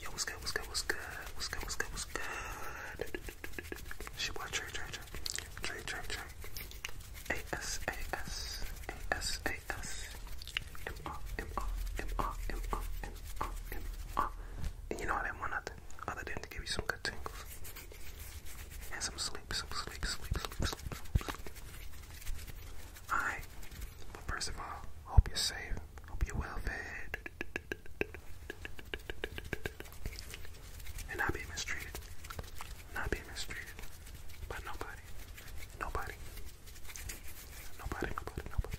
Yo, what's good, what's good, what's good, what's good, what's good, what's good? She bought Trey, Trey, Trey, Trey, Trey, Trey. A-S, A-S, A-S, A-S. M-R, M-R, M-R, M-R, M-R, M-R. And you know I didn't want nothing other than to give you some good tingles. And some sleep, some sleep, sleep, sleep, sleep, sleep. Alright, but first of all, hope you're safe. Hope you're well fed. And not being mistreated. Not being mistreated by nobody. Nobody. Nobody, nobody, nobody.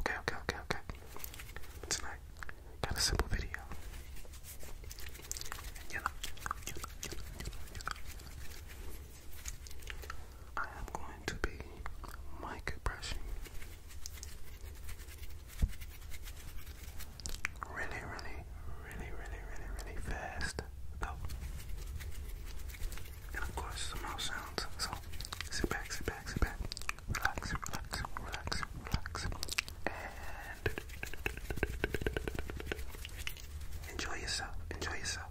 Okay, okay, okay, okay. tonight, got a simple video. you know, I am going to be mic brushing really, really, really, really, really, really fast though. And of course some mouth sounds. So sit back, sit back, sit back. Relax, relax, relax, relax. And enjoy yourself. Enjoy yourself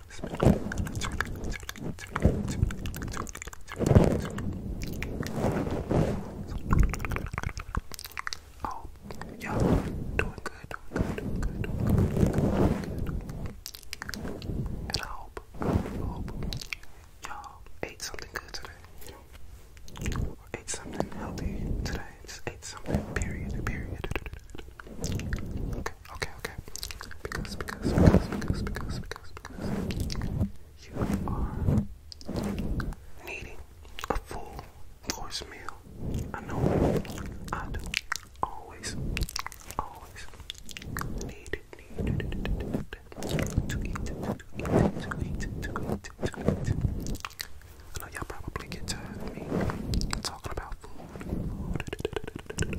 Oh, y'all doing good, doing good, doing good, And I hope, y'all ate something good today. Or ate something healthy today. Just ate something, period, period. Okay, okay, okay. Because, because, because, because, because, because, because you are needing a full course meal. I know I do. Always, always need, need, need, need, need to eat, to eat, to eat, to eat, to eat. I know y'all probably get tired of me talking about food. food.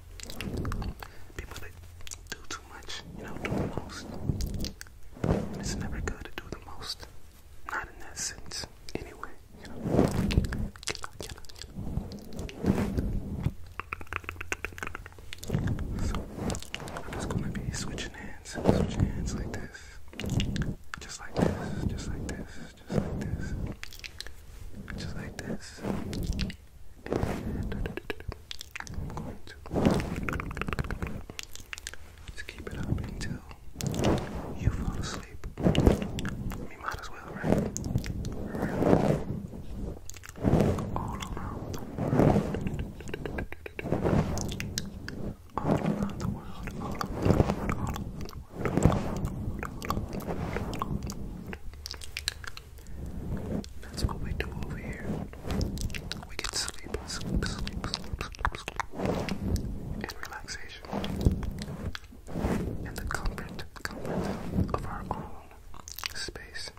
people that do too much, you know, do the most. it's never good to do the most. Not in essence, anyway. So I'm just gonna be switching hands, switching hands like this, just like this, just like this, just like this. Just like this. I'm going to keep it up until you fall asleep. We might as well, that's what we do over here. We get sleep, sleep, sleep, sleep, and relaxation, and the comfort, comfort of our own space,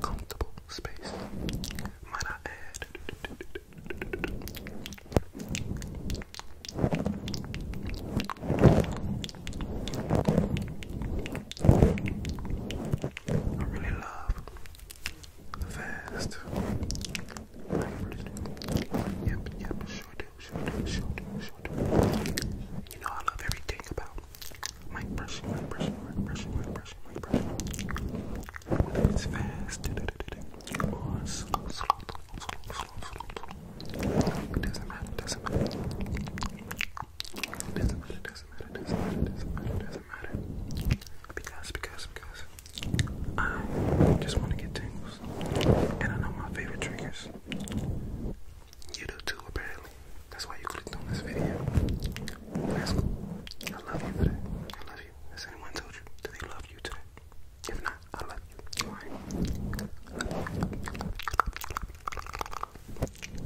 comfortable space. Might I add? I really love the fast. I really do. Yep, yep, do, sure do, sure do, sure do. You know I love everything about my brushing, my brushing, my brushing, my brushing, my brushing. Whether oh, it's fast or slow, slow, slow, It doesn't matter. It Doesn't matter, doesn't matter, doesn't matter, doesn't matter, doesn't matter. Because, because, because I just want to get tingles. And I know my favorite triggers. You do too, apparently. That's why you clicked on this video. That's cool. I love you for that. I love you. Has anyone told you that they love you today? If not, I love you.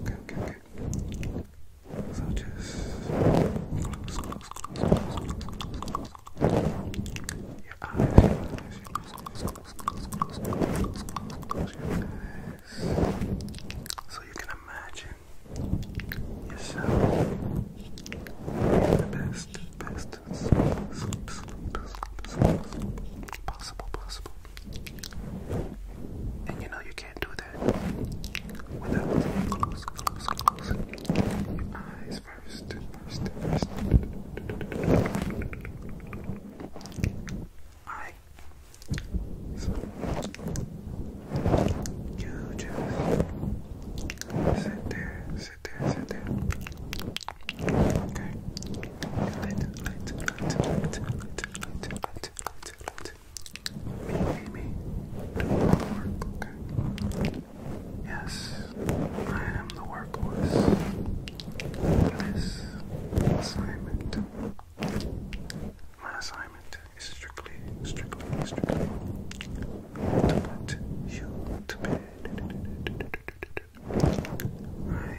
Okay, okay, okay, so just close, close, close, close, close, close, close, your eyes, your eyes, your eyes, close, close, close, close, close, close, close your eyes. So you can imagine yourself in the best, best sleep, sleep, sleep, sleep, sleep, sleep, possible, possible, and you know you can't do that without close, your eyes first, first, you just sit there, sit there, sit there. Okay. Let, let, let, let, let, let, let, let, me, me, me. the work, Yes, I am the workhorse. This assignment, my assignment is strictly, strictly, strictly to put to bed. I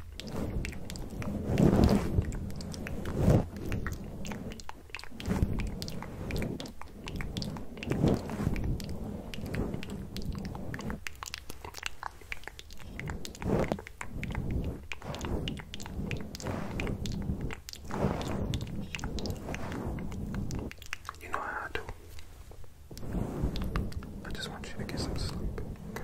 you know how I do. I just want you to get some sleep. Okay.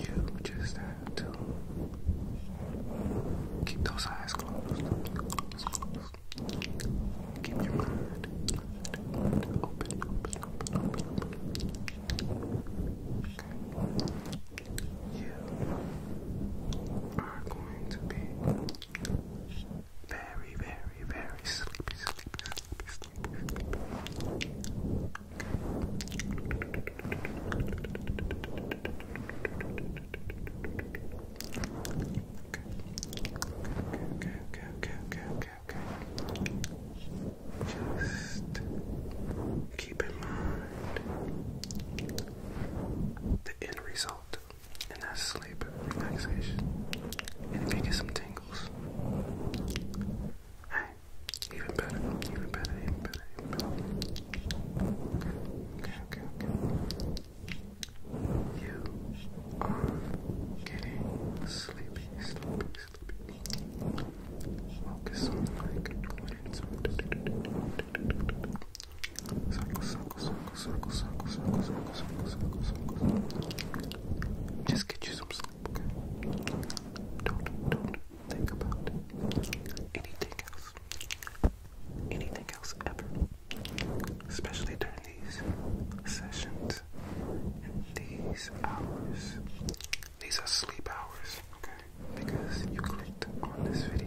You just have to keep those eyes closed. Keep your mind open, open, open, open, You are going to be very, very, very sleepy. Just keep in mind the end result, and that's sleep, relaxation, and if you get some tingles, hey, even better, even better, even better, You are getting sleepy, sleepy, sleepy. Focus on like Just get you some sleep, think about anything else. Anything else ever. Especially during these sessions and these hours. These are sleep hours, okay? Because you clicked on this video.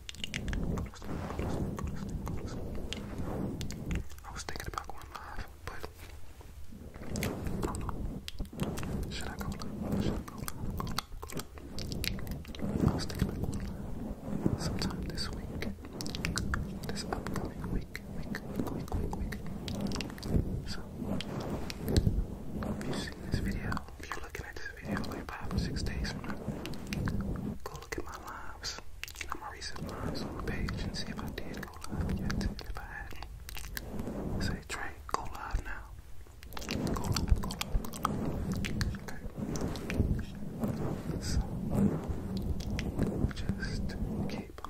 I was thinking about going live, but I don't know. Should I go live? Should I go live? I was thinking about live sometime this week, this upcoming week, week, week, week, week. So, if you see this video, if you're looking at this video like five or six days from now, go look at my lives, you know, my recent lives on the page and see if I did go live yet. If I had say, Trey, go live now. Go live, go live, Okay. So, just keep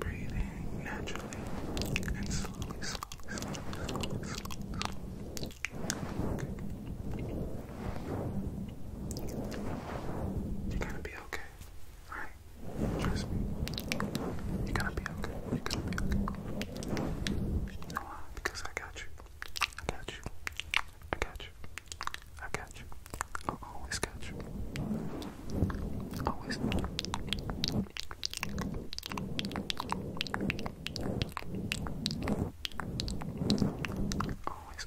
Breathing naturally and slowly, slowly, slowly, slowly, You're gonna be okay. Alright? Trust me. You're gonna be okay. You're gonna be okay. You know why? Because I got you. I got you. I got you. I catch you. i always catch you. Always, always. Always,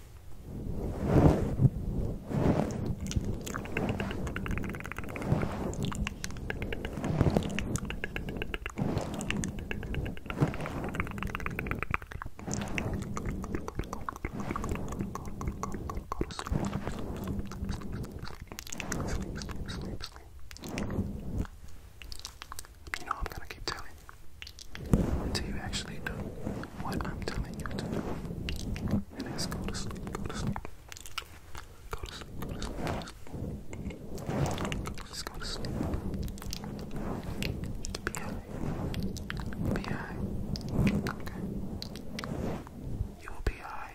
Sleep, sleep, sleep, sleep. You know I'm gonna keep telling you until you actually do what I'm telling you to do. And that's go to sleep, go to sleep. Go to sleep, go to sleep, go to sleep. go to sleep. Be high. Be high. Okay. You will be high.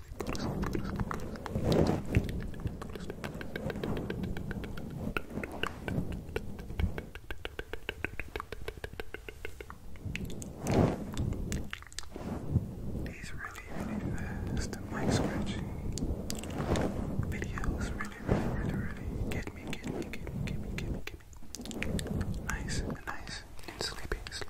These really, really fast mic scratching videos really, really, really, really get me, get me, get me, get me, get me, get me. Nice, nice, and sleepy, sleepy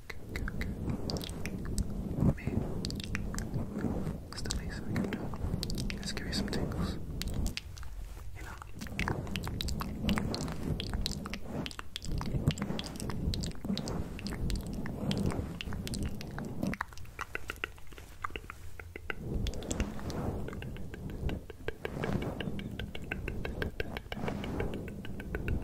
good, good, good. Let me move as the least I can do. Let's give you some tingles. You know?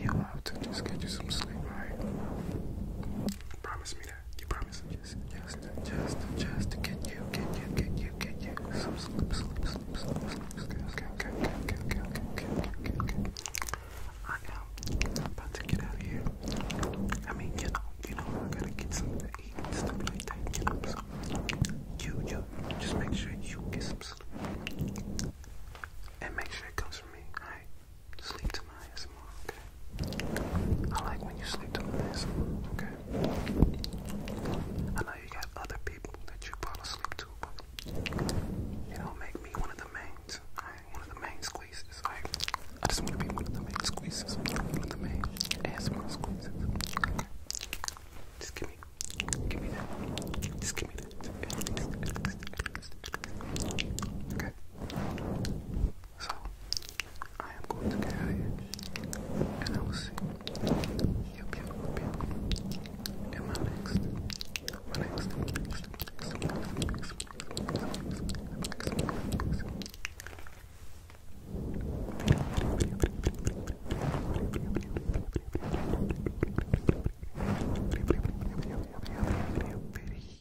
You have to just get you some sleep, right? Promise me that. You promise? Just, just, just, just to get you, get you, get you, get you. Sleep, sleep, sleep, sleep, sleep, sleep. Okay, okay, okay, okay, okay, okay, okay, okay, okay, okay. I am about to get out of here. I mean, you know, you know, I gotta get something to eat and stuff like that, you know. So, you, you, just make sure you get some sleep. And make sure it comes from me, alright? Sleep to my ASMR, okay? I like when you sleep to my ASMR, okay? I know you got other people that you fall asleep to, but you don't make me one of the mains. I ain't one of the main squeezes, I just want to be one of the main squeezes. One of the main ASMR squeezes. Okay. Just give me, give me that. Just give me that. Okay. So I am going to carry it, and I will see you in my next my next